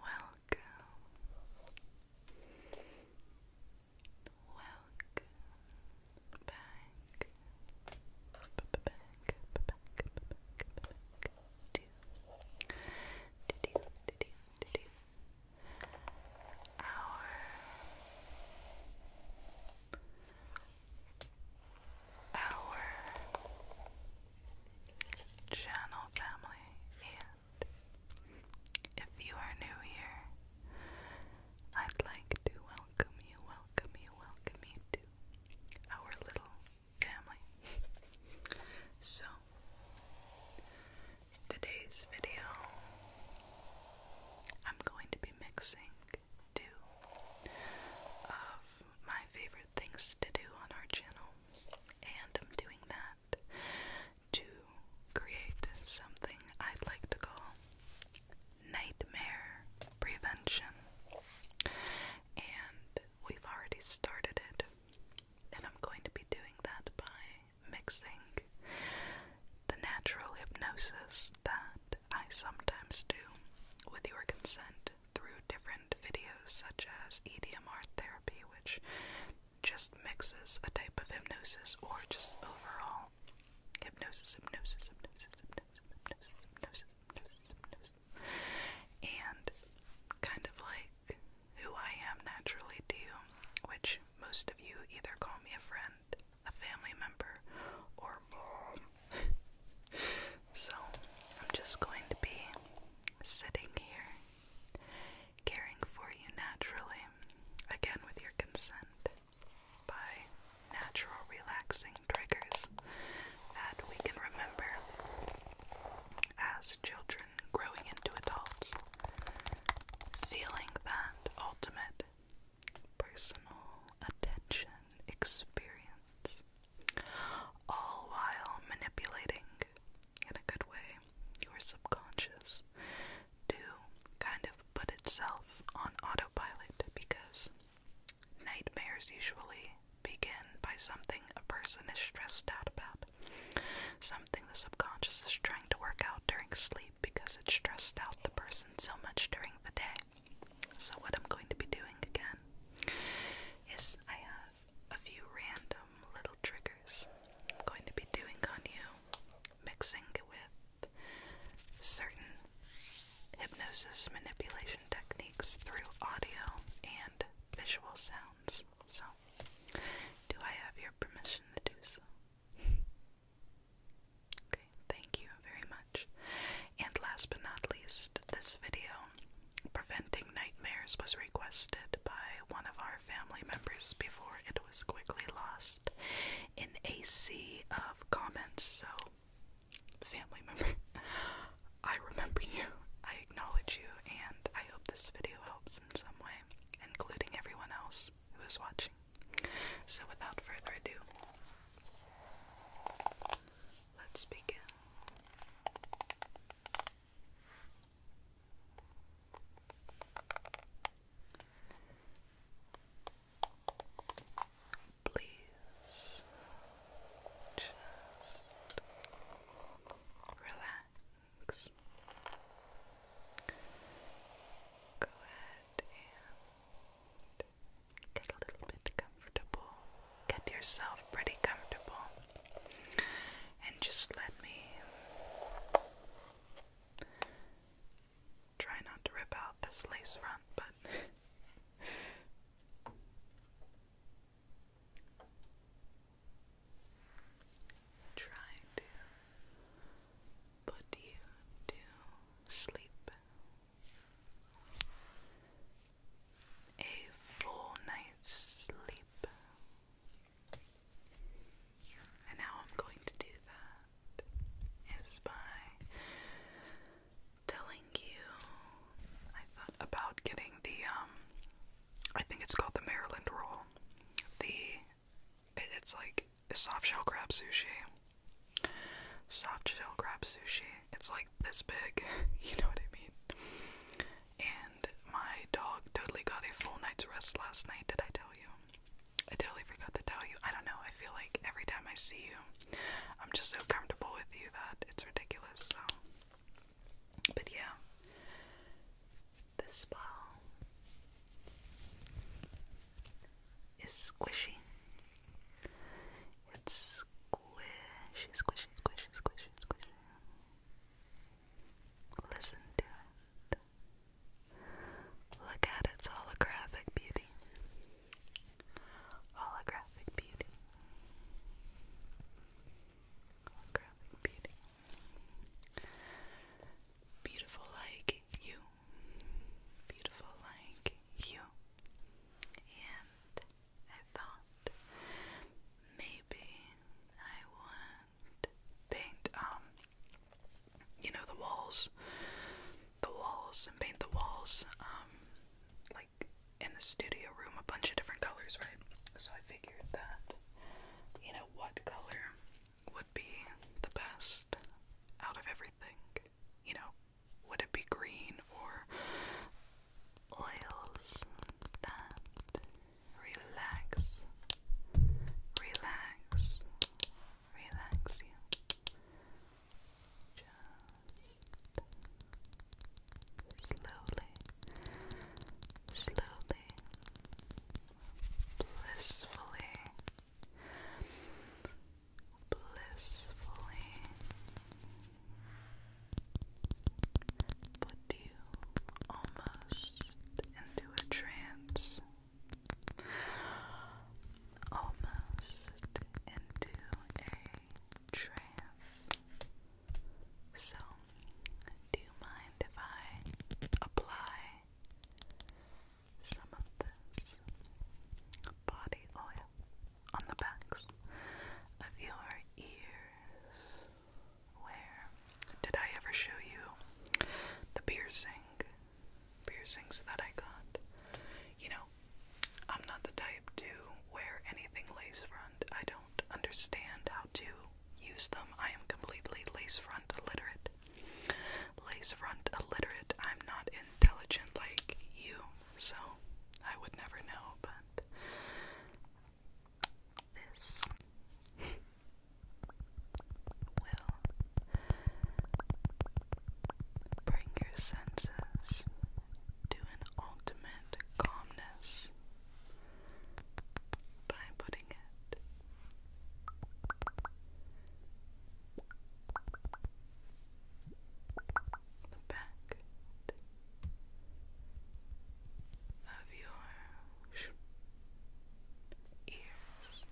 Welcome, welcome back, back, back, back, back, back, to, to do, to do, to do, our our channel family and if you are new here I'd like to welcome you welcome you welcome you to our little family so today's video, I'm going to be mixing two of my favorite things to do on our channel, and I'm doing that to create something I'd like to call nightmare prevention. And we've already started it, and I'm going to be doing that by mixing the natural hypnosis that I sometimes do with your consent through different videos such as EDMR therapy, which just mixes a type of hypnosis or just overall hypnosis, hypnosis, hypnosis, hypnosis, hypnosis, hypnosis, hypnosis, hypnosis, and kind of like who I am naturally to you, which most of you either call me a friend, a family member, or mom. so I'm just going to be sitting here, caring for you naturally, again with your consent, by natural relaxing triggers that we can remember as children growing into adults, feeling that ultimate personal attention experience, all while manipulating in a good way your subconscious to kind of put itself on autopilot because nightmares usually begin by something a person is stressed out about, something the subconscious is trying to work out during sleep because it stressed out the person so much during the day. So, what I'm going to be doing again is I have a few random little triggers I'm going to be doing on you, mixing with certain hypnosis manipulation techniques through audio and visual sounds. So, do I have your permission to do so? okay, thank you very much. And last but not least, this video, Preventing Nightmares, was requested by one of our family members before it was quickly lost in a sea of comments. So, family member, I remember you, I acknowledge you, and I hope this video helps in some way, including everyone else who is watching. So, without further ado, let's begin. Please just relax. Go ahead and get a little bit comfortable. Get yourself pretty comfortable. And just let me try not to rip out this lace front, but trying to put you to sleep. A full night's sleep. And how I'm going to do that is by telling you I thought about getting the um I think it's called the Maryland roll. The it's like soft shell crab sushi. Soft shell crab sushi. It's like this big, you know what I mean? And my dog totally got a full night's rest last night, did I tell you? I totally forgot to tell you. I don't know, I feel like every time I see you, I'm just so comfortable with you that it's ridiculous, so. But yeah, this spa is squishy. It's squishy, squishy, squishy, squishy, squishy. Listen to it. Look at its holographic beauty. Holographic beauty. Holographic beauty. Beautiful like you. Beautiful like you. And I thought maybe I would paint um you know the walls the walls and paint the walls um like in the studio room a bunch of different colors, right? So I figured that you know what color would be the best out of everything? You know, would it be green or oils that relax, relax, relax you? Just slowly, slowly, blissfully, blissfully put you almost into a trance, almost into a trance. So do you mind if I apply some of this body oil on the backs of your ears? Where did I ever show you the piercing? Piercings that I got. You know, I'm not the type to wear anything lace front. I don't understand how to use them. I am completely lace front illiterate. Lace front illiterate. I'm not intelligent like you, so I would never know, but this will bring your senses to an ultimate calmness by putting putting it. The back of your ears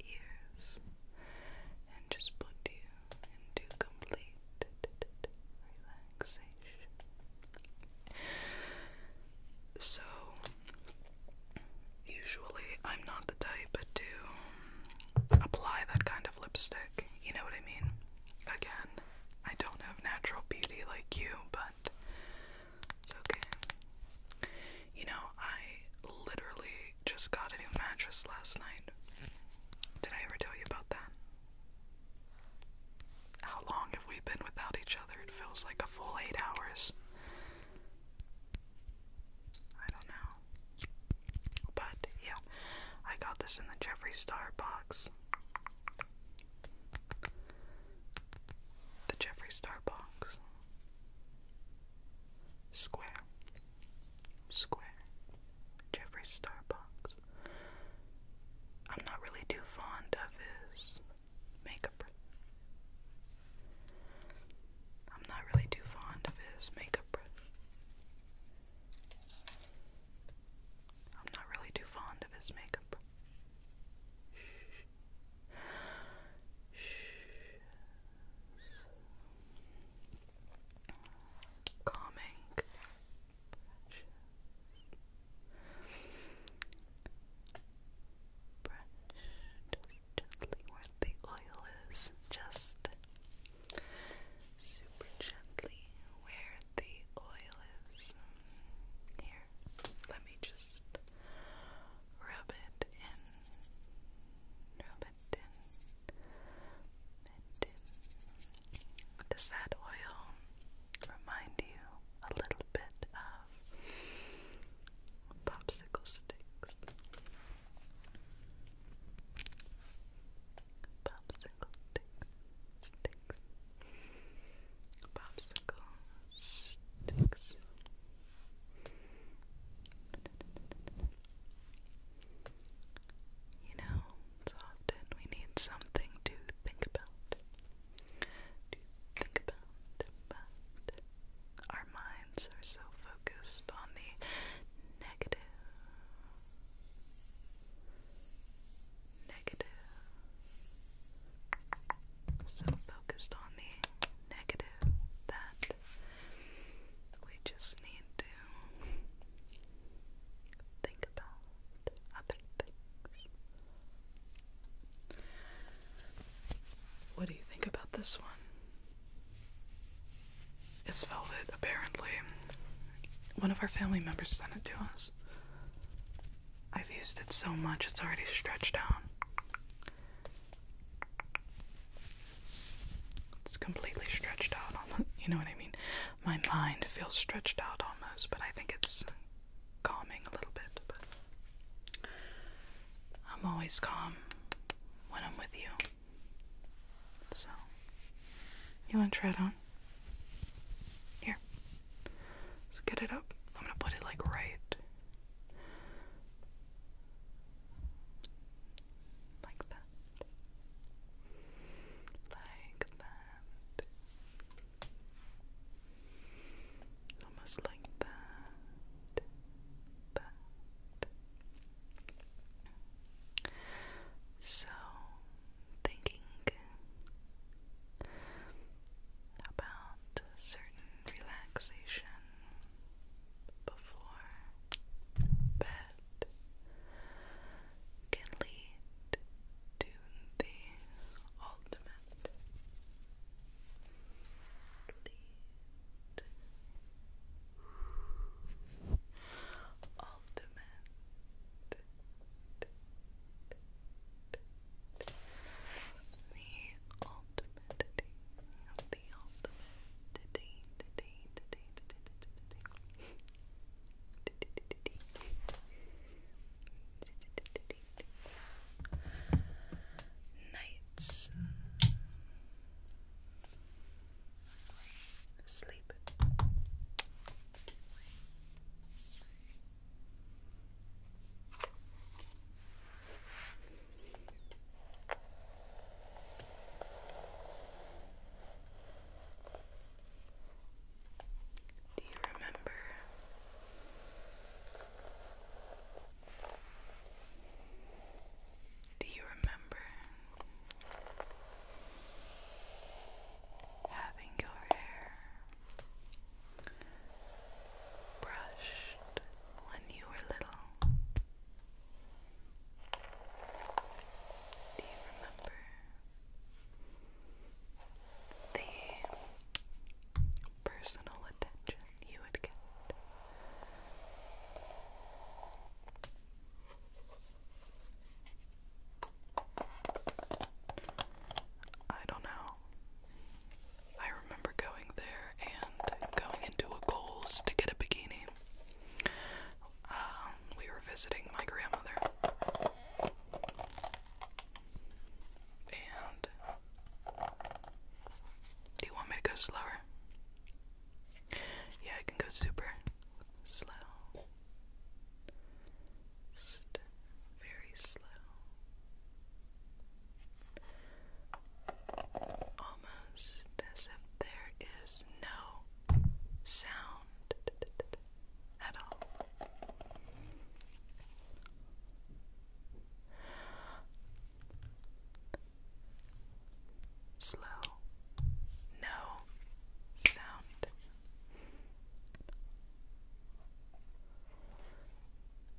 ears and just put you into complete relaxation. So, usually I'm not the type to apply that kind of lipstick, you know what I mean? Again, I don't have natural beauty like you, but it's okay. You know, I literally just got a new mattress last night. Did I ever tell you about that? How long have we been without each other? It feels like a full eight hours. I don't know. But yeah, I got this in the Jeffree Star box. The Jeffree Star box. Square, Square, Jeffrey Starbucks. I'm not really too fond of his makeup. I'm not really too fond of his makeup I'm not really too fond of his makeup Calming precious brush just gently where the oil is just super gently where the oil is here let me just Rub it in. Rub it in. Does that oil remind you a little bit of popsicle sticks? Popsicle sticks. Sticks. Popsicle sticks. You know, it's often we need something to think about. think about, but our minds are so focused on the negative. Negative, so focused on the negative that we just need to think about other things. What do you think about this one? It's velvet, apparently. One of our family members sent it to us. I've used it so much, it's already stretched out. It's completely stretched out on you know what I mean? My mind feels stretched out almost, but I think it's calming a little bit, but I'm always calm when I'm with you. So you wanna try it on? Here. let's get it up. I'm gonna put it like right like that. Like that. Almost like that. That. So, thinking about certain relaxation before bed can lead to the ultimate ultimate the ultimate day, the ultimate day, today, today, today, today, Nights. Sleep. Do you remember? Do you remember having your hair brushed when you were little? Do you remember the personal attention you would get? I don't know. I remember going there and going into a Kohl's to get a bikini. Um, we were visiting my grandmother. And do you want me to go slower? Yeah, I can go super slow. very slow almost as if there is no sound at all. Slow, no sound.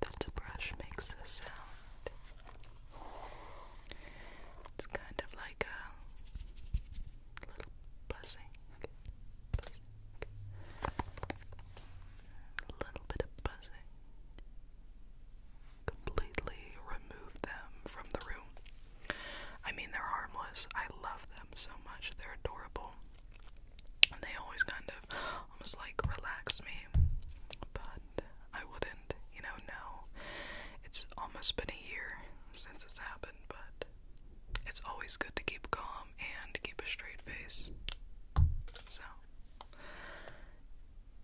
This brush makes a sound. It's kind of like a little buzzing a little bit of buzzing. Completely remove them from the room. I mean, they're harmless. I love them so much. They're adorable. And they always kind of almost like relax me. But I wouldn't, you know, no. It's almost been a year since it's happened, but it's always good to keep calm and keep a straight face. So,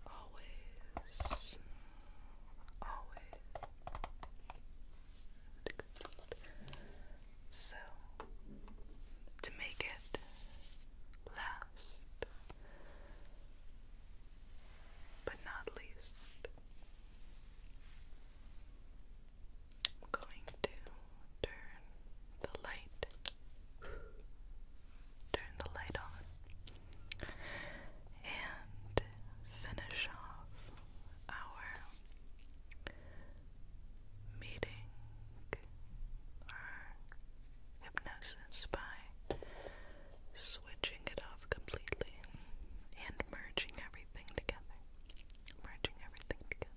always, always. So, to make it last, but not least, I'm going to turn the light Turn the light on and finish off our meeting our hypnosis by switching it off completely and merging everything together. Merging everything together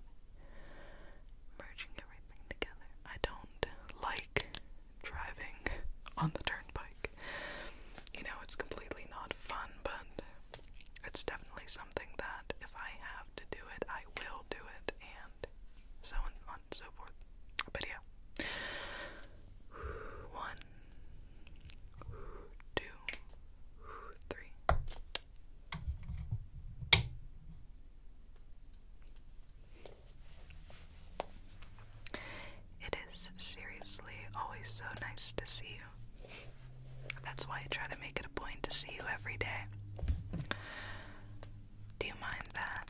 merging everything together. I don't like driving on the turnpike. You know, it's completely not fun, but it's definitely something that if I have to do it, I will do it, and so on and so forth. But yeah. One, two, three. It is seriously always so nice to see you. That's why I try to make it a point to see you every day. Do you mind that?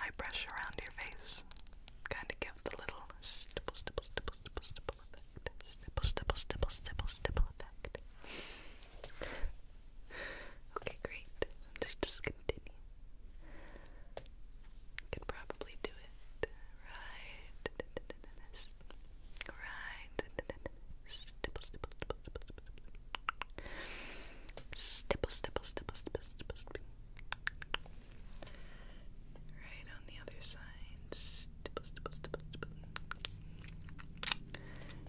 I brush around your face, kind of give the little stipple, stipple, stipple, stipple, stipple effect, stipple, stipple, stipple, stipple, stipple effect. Okay, great. I'm just, just continue. Could probably do it. Right. Right. stipple, stipple, stipple, stipple. Stipple, stipple, stipple, stipple, stipple, stipple. Right on the other side. Stipple, stipple, stipple, stipple.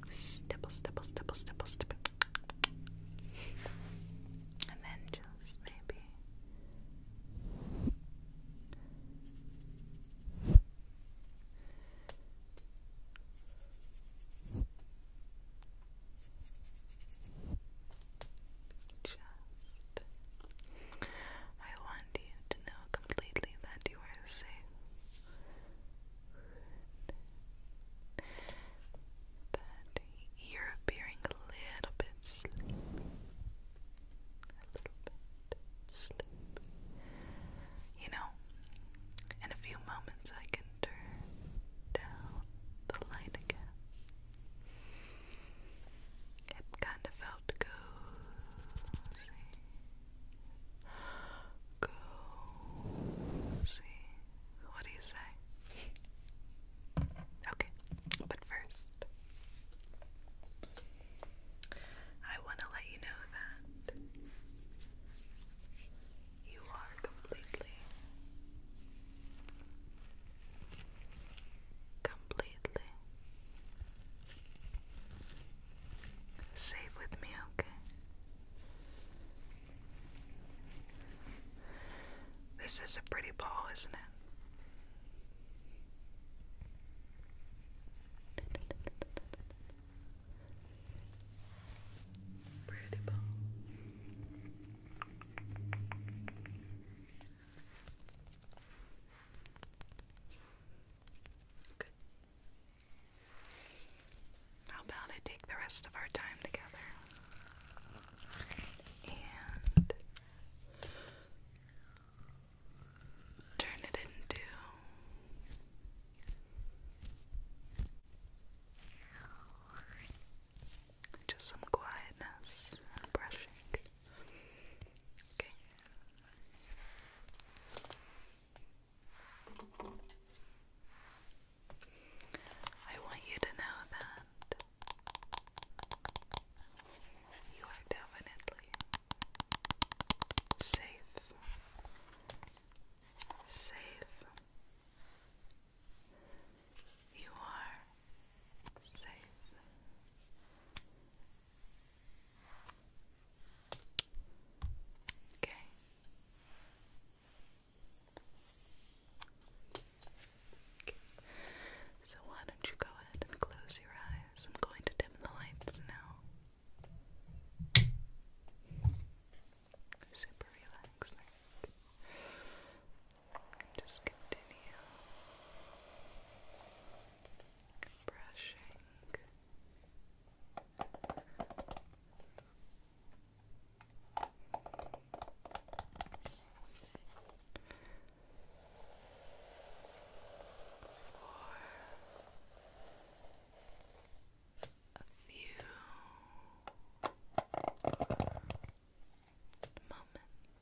Stipple, stipple, stipple, stipple, stipple. And then just maybe. Just. I want you to know completely that you are safe that you're appearing a little bit sleepy. A little bit sleepy. You know, in a few moments I can turn down the light again. It kind of felt cozy see. What do you say? Okay, but first, I want to let you know that you are completely, completely safe with me, okay? This is a pretty ball, isn't it? Pretty ball. Good. How about I take the rest of our time together and turn it into just some quietness and brushing. Okay. I want you to know that you are definitely safe, safe. You are safe. Okay. okay. So why don't you go ahead and close your eyes? I'm going to dim the lights now. Super relaxing. Just continue brushing for a few moments.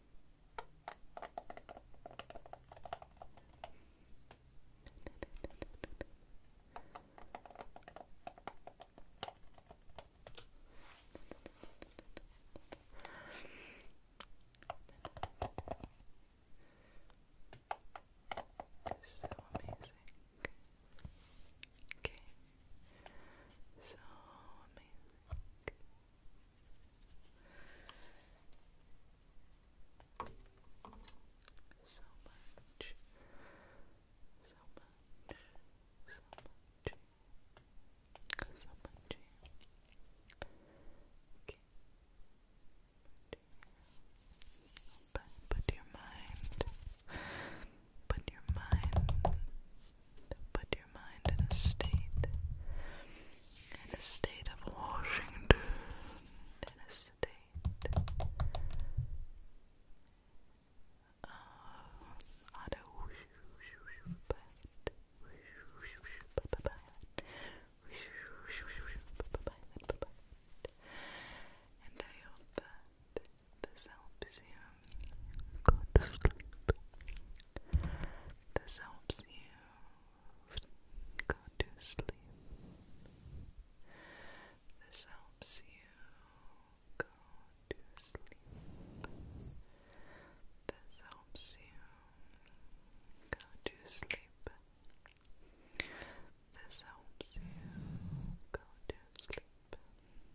It's so amazing. Okay. So amazing. So much, so much, so much, so much. Okay. Put your mind put your mind put your mind in a state in a state of Washington in a state of auto but and I hope that this helps you Go to sleep. This helps you go to sleep. This helps you go to sleep. This helps you go to sleep. This helps you go to sleep.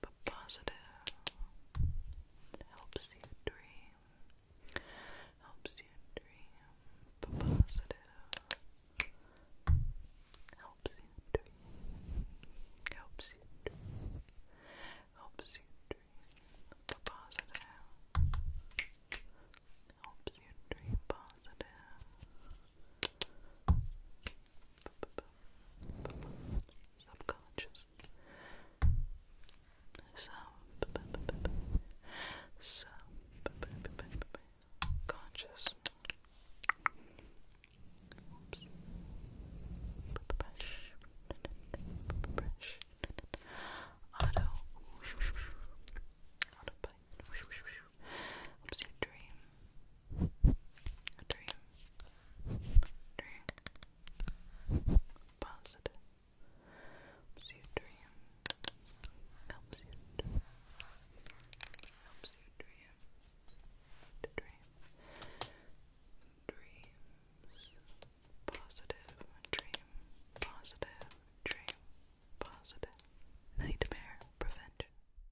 but positive. helps you dream. Helps you dream, but positive. Helps you dream. Helps you dream. Helps you dream, positive. Helps you dream positive subconscious sub sub conscious Oops. auto What's your dream? dream. Dream. Positive. Helps you dream. Helps you Helps you dream. dream. Dreams. Positive. Dream. Positive. Dream. Positive. Nightmare prevention.